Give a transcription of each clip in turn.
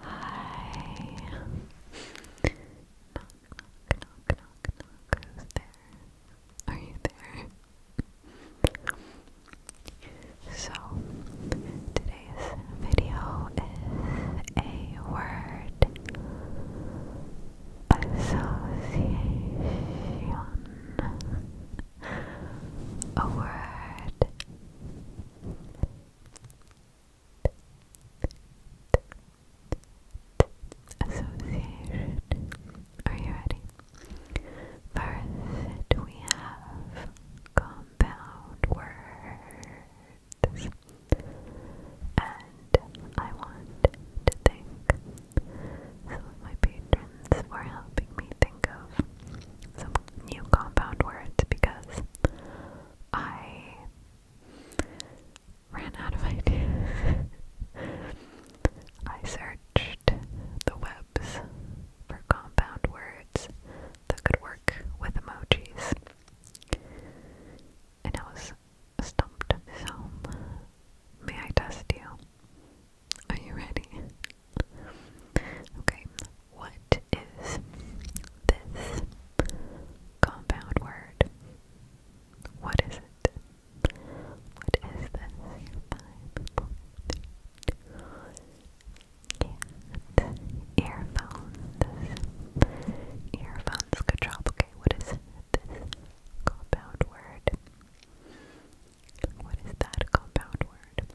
Hi. Knock, knock, knock, knock, knock. Who's there? Are you there? So, today's video is a word association. A word Association. Are you ready? First, we have compound words. And I want to think some of my patrons friends for helping me think of some new compound words because I ran out of ideas. I searched the webs for compound words that could work with emojis. And I was stumped. So, may I test you? Are you ready? Okay, what is this compound word? What is it? What is this? Earphones. Earphones. Good job. Okay, what is this compound word? What is that compound word?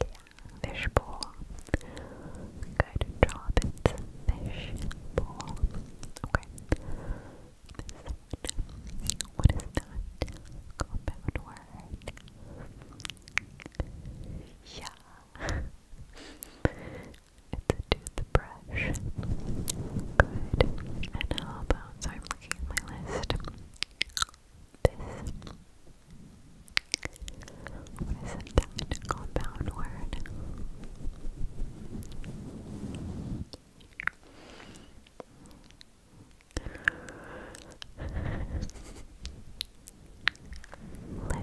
Yeah, fishbowl. Good job, fishbowl. Okay. What is that compound word? Yeah. It's a toothbrush. Good. And how about, so I'm looking at my list this what is that compound word? Lipstick. Lipstick. Lipstick. Okay.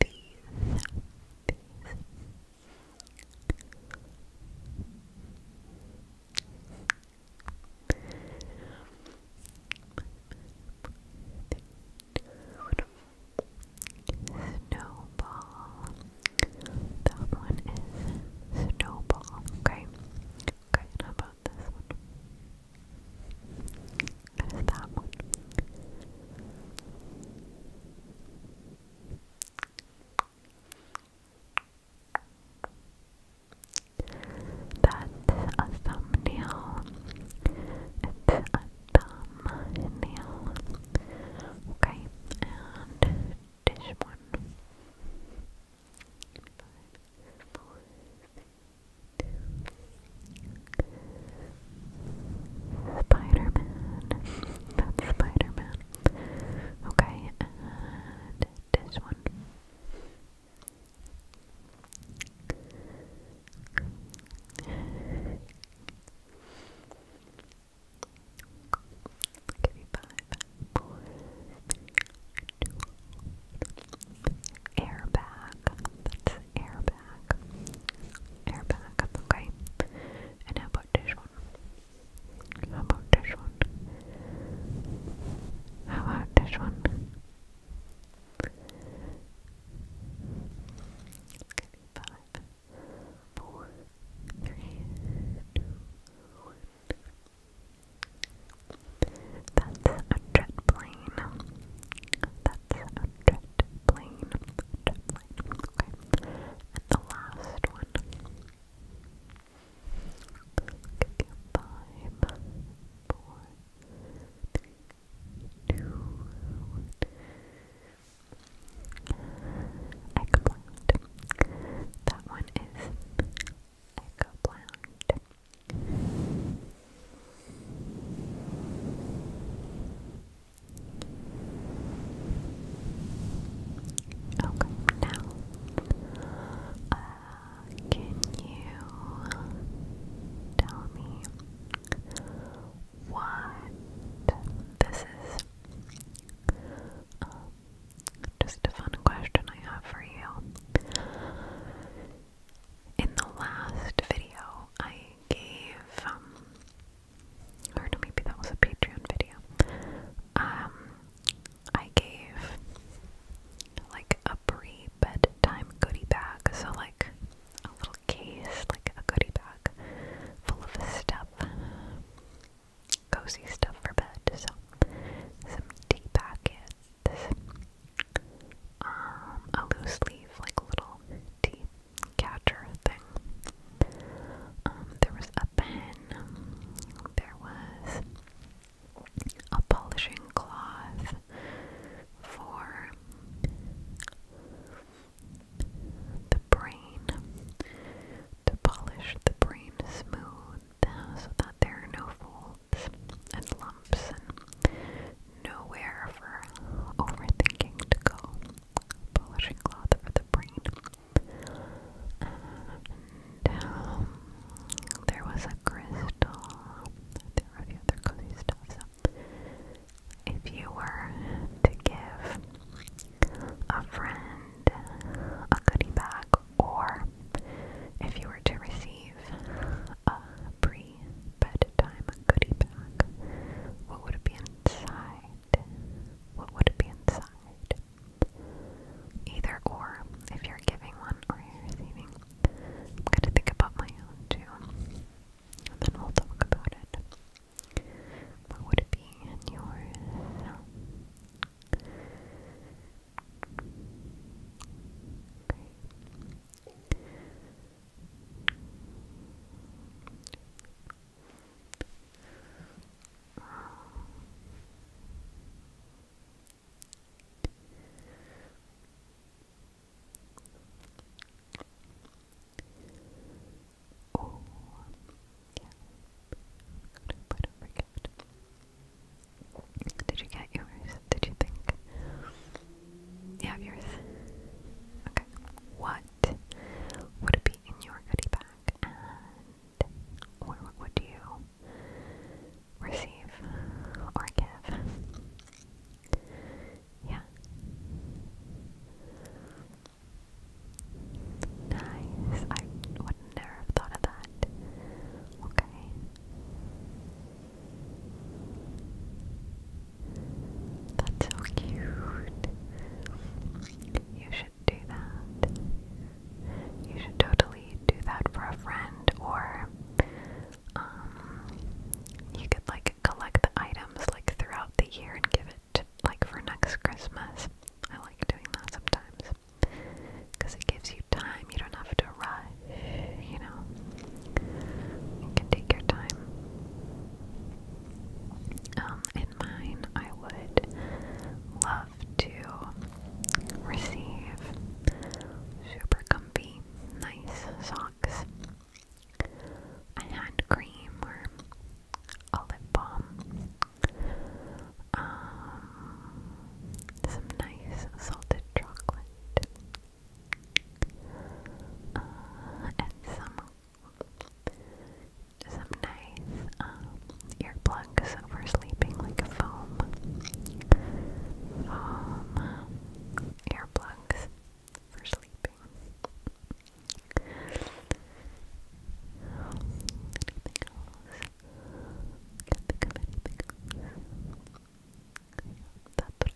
These Snowball. That one is Snowball. Okay. Okay, how about this one? What is that one? That's a thumbnail. It's a thumbnail. Okay, and this one. Spider Man. That's Spider Okay, and this one. Give you five, four, three, two, airbag airbag. Airbag, okay. And how about this How about this How about this Okay, five, four, three, two, one. That's a jet plane. That's that's the last one. you five, four, three, two, one. Eggplant. That one is eggplant. Okay, now, uh, can you tell me what this is? Um, just a fun question I have for you. In the last video, I gave um, or maybe that was a Patreon video. Um, I gave like a pre bedtime goodie bag, so like a little case, like a goodie bag full of stuff, cozy stuff for bed. So some tea packets, um, a loose leaf, like little tea catcher thing. Um, there was a pen, there was a polishing cloth for the brain to polish the brain smooth so that there are no folds and lumps and nowhere for overthinking to go polishing cloth for the brain. Um, there was a crystal. There were a few other cozy if you were to give a friend a goodie bag, or if you were to receive a pre bedtime goodie bag, what would be inside? What would be inside? Either or, if you're giving one or you're receiving. I'm gonna think about my own too. then we'll talk about it. What would it be in yours? Oh, yeah. I don't forget. Did you get yours? Did you think? You have yours. Okay. What what would be in your goodie bag and what would you receive or give? Yeah. Nice. I would never have thought of that. Okay. That's so cute. You should do that. You should totally do that for a friend, or um, you could like collect the items like throughout the year and give it like for next Christmas. I like doing that sometimes because it gives you time. You don't have to rush. You know, you can take your time um, in mine, I would love to receive super comfy, nice socks, a hand cream or olive balm, um, some nice salted chocolate, uh, and some some nice um, earplugs for sleeping, like a foam, earplugs for sleeping. Anything else?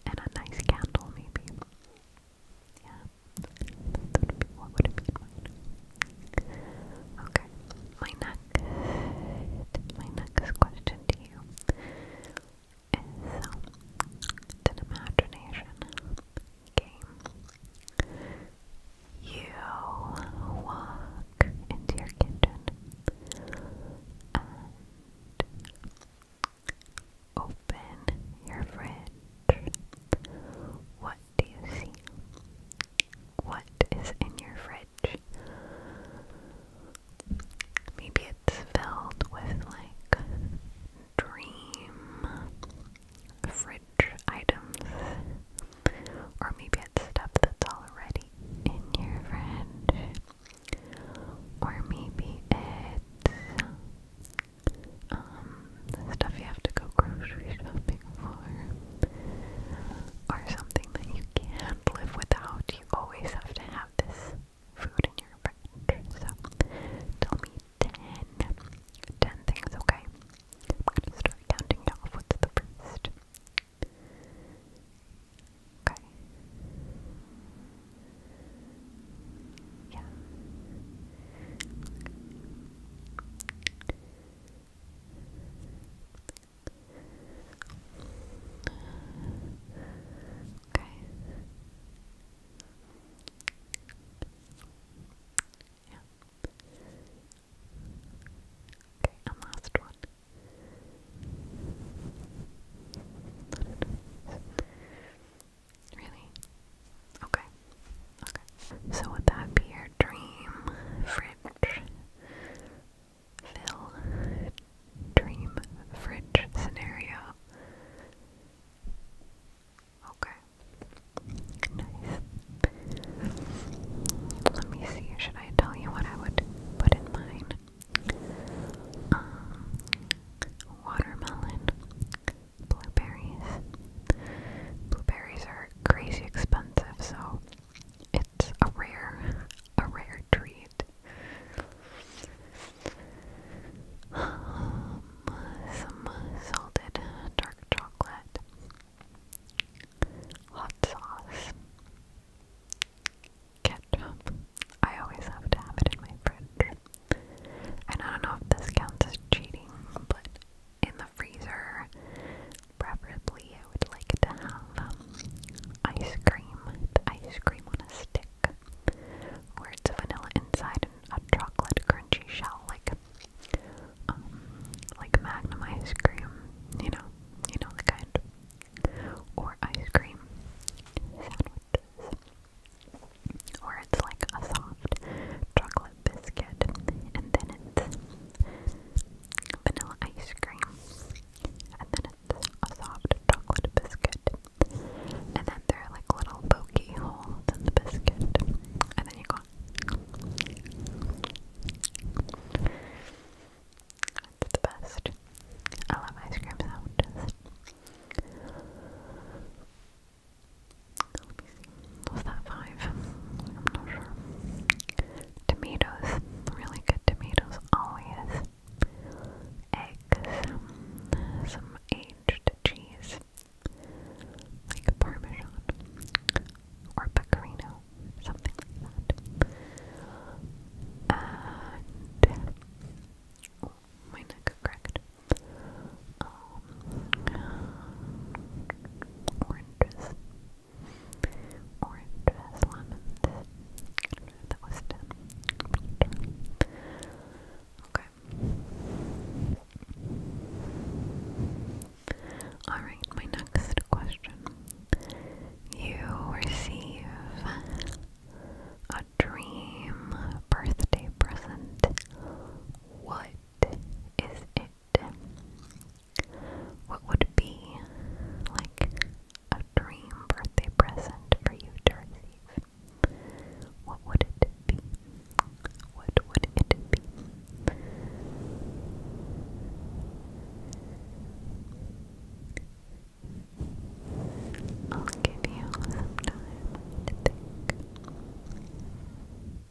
and a nice candle, maybe. Yeah. That Okay, my next, my next question to you is um, an imagination game. You walk into your kitchen open your fridge, what do you see? What is in your fridge? Maybe it's filled with like dream fridge items, or maybe it's stuff that's already in your fridge, or maybe it's um, stuff you have to go grocery shopping for, or something that you can't live without. You always have to have this food in your fridge. So tell me 10, things, okay? I'm gonna start counting off. What's the first? Okay. Yeah. Okay. Yeah. Okay, and last one. Really? Okay. Okay. So would that be your dream fridge fill dream fridge scenario? Okay. Nice. Let me see, should I tell you what I would put in mine? Um, watermelon, blueberries. Blueberries are crazy expensive, so it's a rare, a rare treat. some salted dark chocolate, hot sauce, ketchup. I always have to have it in my fridge. I don't know if this counts as cheating, but in the freezer, preferably I would like to have um, ice cream, ice cream on a stick, where it's vanilla inside and a chocolate crunchy shell, like um, like Magnum ice cream, you know, you know the kind, or ice cream sandwiches. Or it's like a soft chocolate biscuit, and then it's vanilla ice cream, and then it's a soft chocolate biscuit, and then there are like little pokey holes in the biscuit, and then you go. It's the best. I love ice cream was that five? I'm not sure. Tomatoes, really good tomatoes, always. Eggs, some aged cheese, like Parmesan or Pecorino, something like that. Oh, my neck cracked um, orange orange lemon, that was 10, okay, alright, my next question, you receive a dream birthday present. What is it? What would be like a dream birthday present for you to What would it be? What would it be? I'll give you some time to think.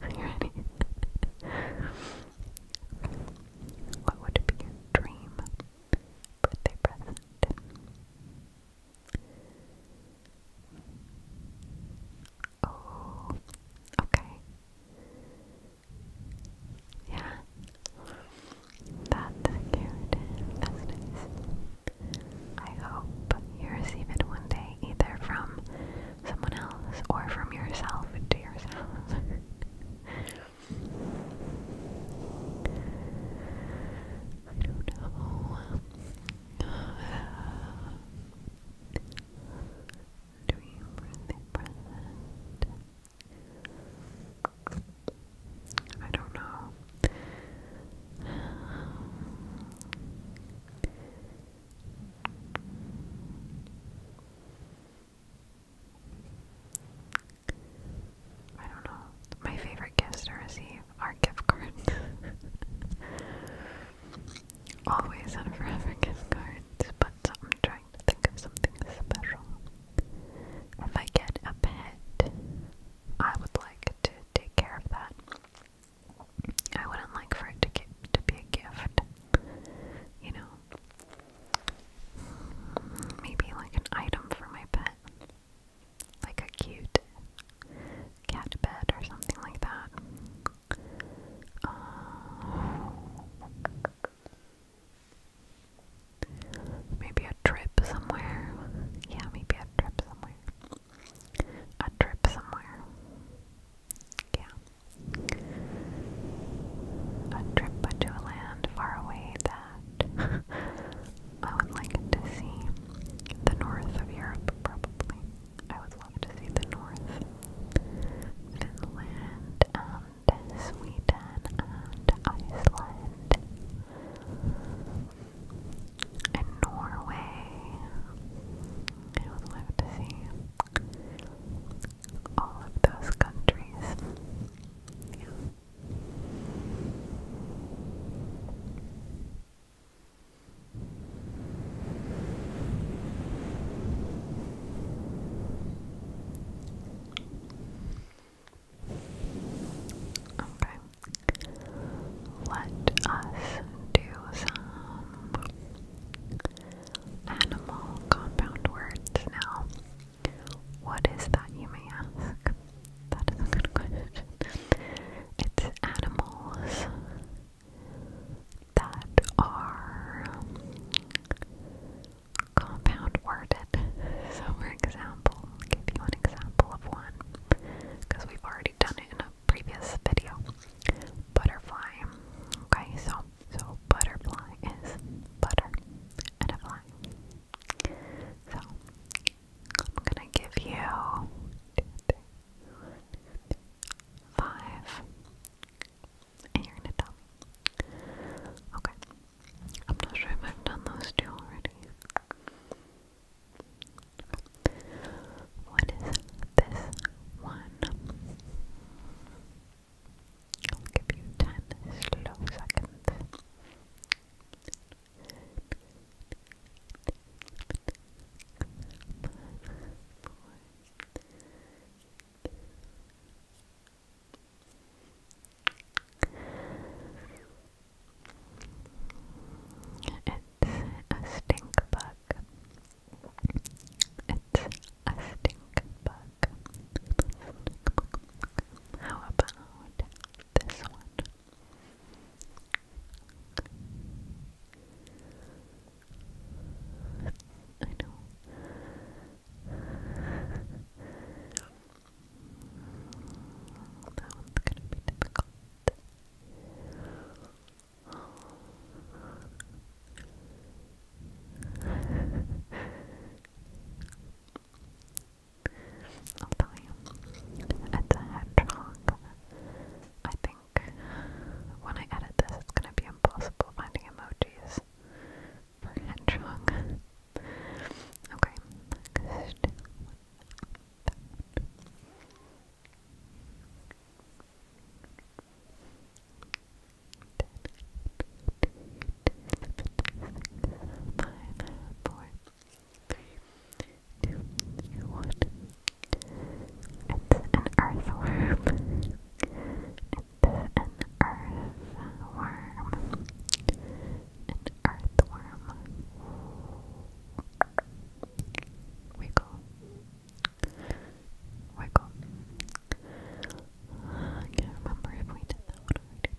Are you ready? what would be your dream birthday present. Oh, okay. Yeah. That's cute. That's nice. I hope you receive it one day, either from someone else or from yourself to yourself. I don't know. Dream for the present. I don't know. I don't know. My favorite gifts to receive are gift cards. Always and forever gift cards, but I'm trying to think of something special. If I get a pet, I would like to take care of that. I wouldn't like for it to to be a gift, you know. Maybe like an item for my pet like a cute cat bed or something like that. Uh, maybe a trip somewhere. Yeah, maybe a trip somewhere. A trip somewhere. Yeah. A trip to a land far away that I would like to see the north of Europe, probably. I would love to see the north. Finland and Sweden and Iceland and Norway. I would love to see all of those countries. Okay. Let us do some animal compound words now. What is that, you may ask? That is a good question. It's animals that are compound worded. So, for example, I'll give you an example of one because we've already done it in a previous video. Butterfly. Okay, so so butterfly is butter and a fly. So I'm gonna give you five, and you're gonna tell Okay, I'm not sure if I've done those two already. What is this one? I'll give you ten slow seconds a stink bug. It's a stink bug. How about this one. I know. That one's gonna be difficult. I'll tell you. It's hedgehog. I think when I edit this, it's gonna be impossible finding emojis for hedgehog. Okay, two, one. It's an earthworm. It's an earthworm. An earthworm. Wiggle. Wiggle. can't remember if we did that already.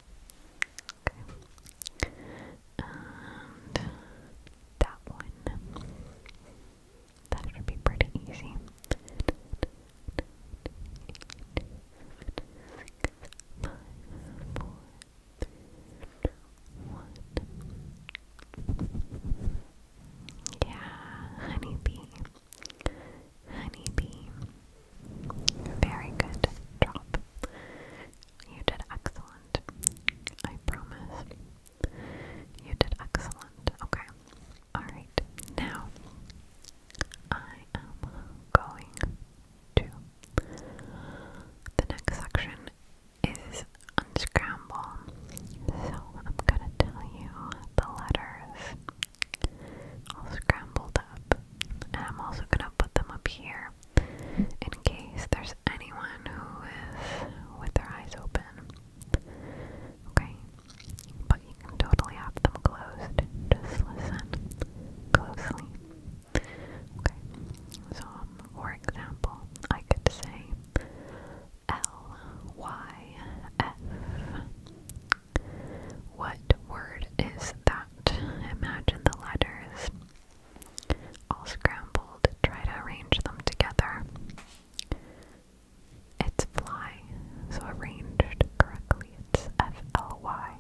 Okay. And that one. That should be pretty easy. Five, four, three, one. Yeah, honeybee. Honeybee. Very good job. You did excellent. I promise. You did excellent. Okay. Alright. Now, I am going to. The next section is unscramble. So I'm going to tell you the letters I'll scrambled up. And I'm also going to put them up here in case there's anyone who is with their eyes open. Okay? But you can totally have them closed. Just listen closely. Okay? So, for example, I could say L Y F. What word is that? Imagine the letters I'll scramble to try to arrange them together. It's fly, so arranged correctly. It's F L Y.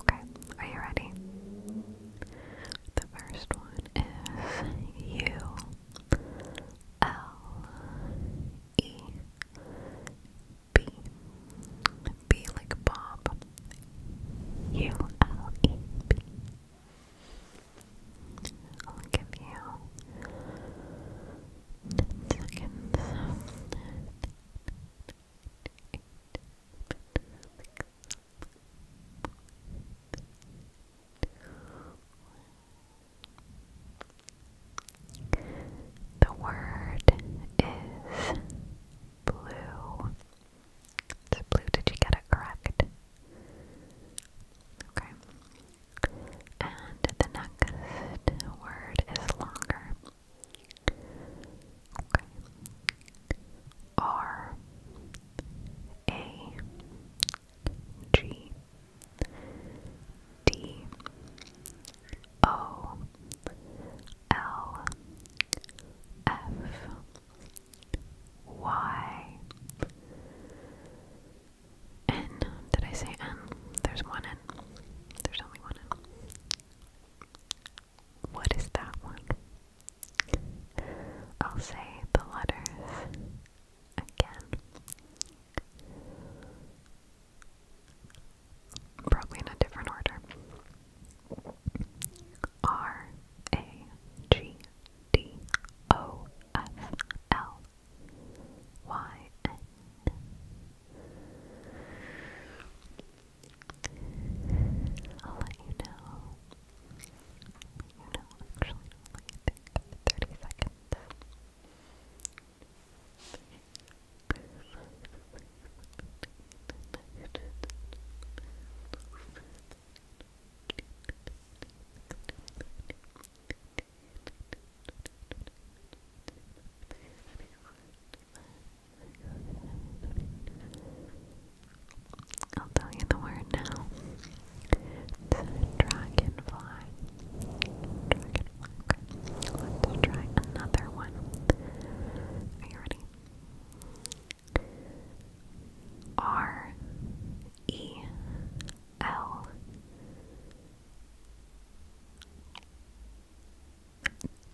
Okay, are you ready? The first one is U L E B. B like Bob. U L E P. I'll give you ten seconds. The word is blue. So blue, did you get it correct? Okay. And the next word is longer. Okay. R A G D O L F Y. N. Did I say N? There's one N. There's only one N. What is that one? I'll say the letters again. Probably in a different order. R A G D O F L Y N. I'll let you know. You know, actually, i 30 seconds. I'll tell you the word now. dragonfly. Let's try another one. Are you ready? R E L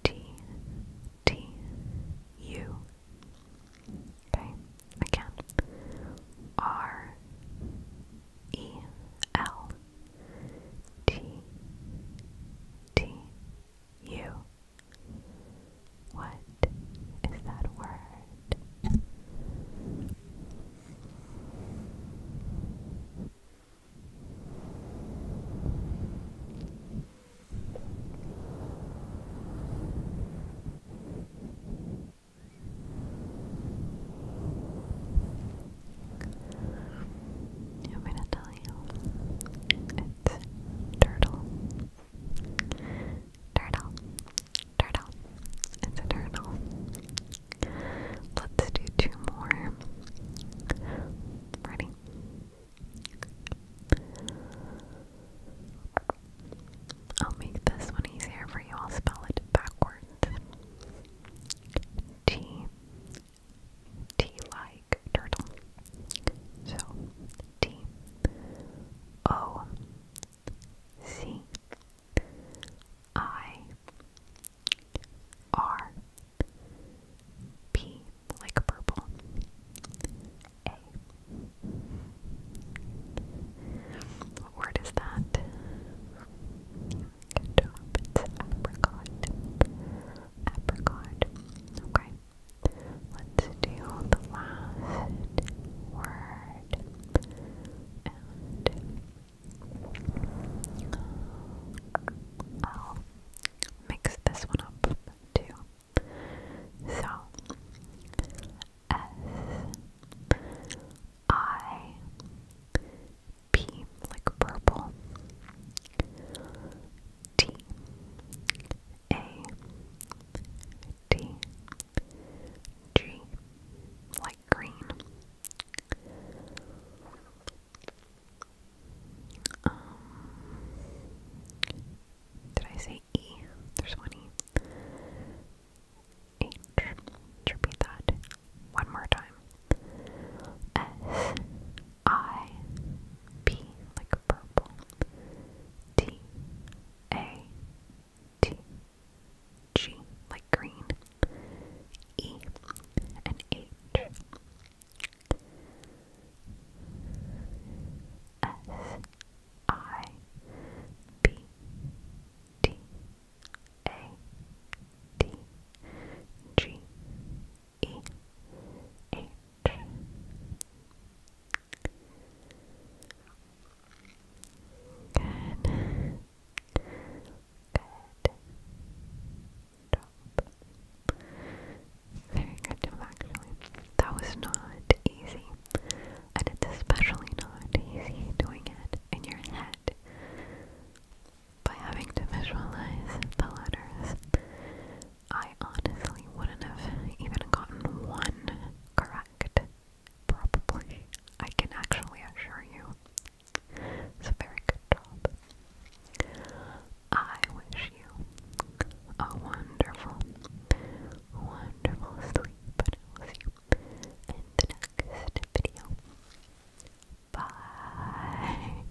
T T U. Okay, again. R E L T T you. What is that word? I'm going to tell you it's turtle. Turtle. Turtle. It's a turtle. Let's do two more. Ready? I'll make this one easier for you. I'll spell it backwards. T. T like turtle. So T O C I R P like purple A. What word is that? apricot. Apricot. Okay. Let's do the last word. Oh, I'll mix this one up too. So, S I P like purple D A T G like green um, did I say E? There's one E. H to repeat that one more time. S I P like purple. T A T G like green E and H S I B D A D G E H Good. Good. Drop. Very good job, actually. That was not easy. And it's especially not easy doing it in your head by having to visualize the letters I honestly wouldn't have even gotten one correct. Probably. I can actually assure you. It's a very good job. I wish you a wonderful, wonderful sleep, and I will see you in the next video. Bye.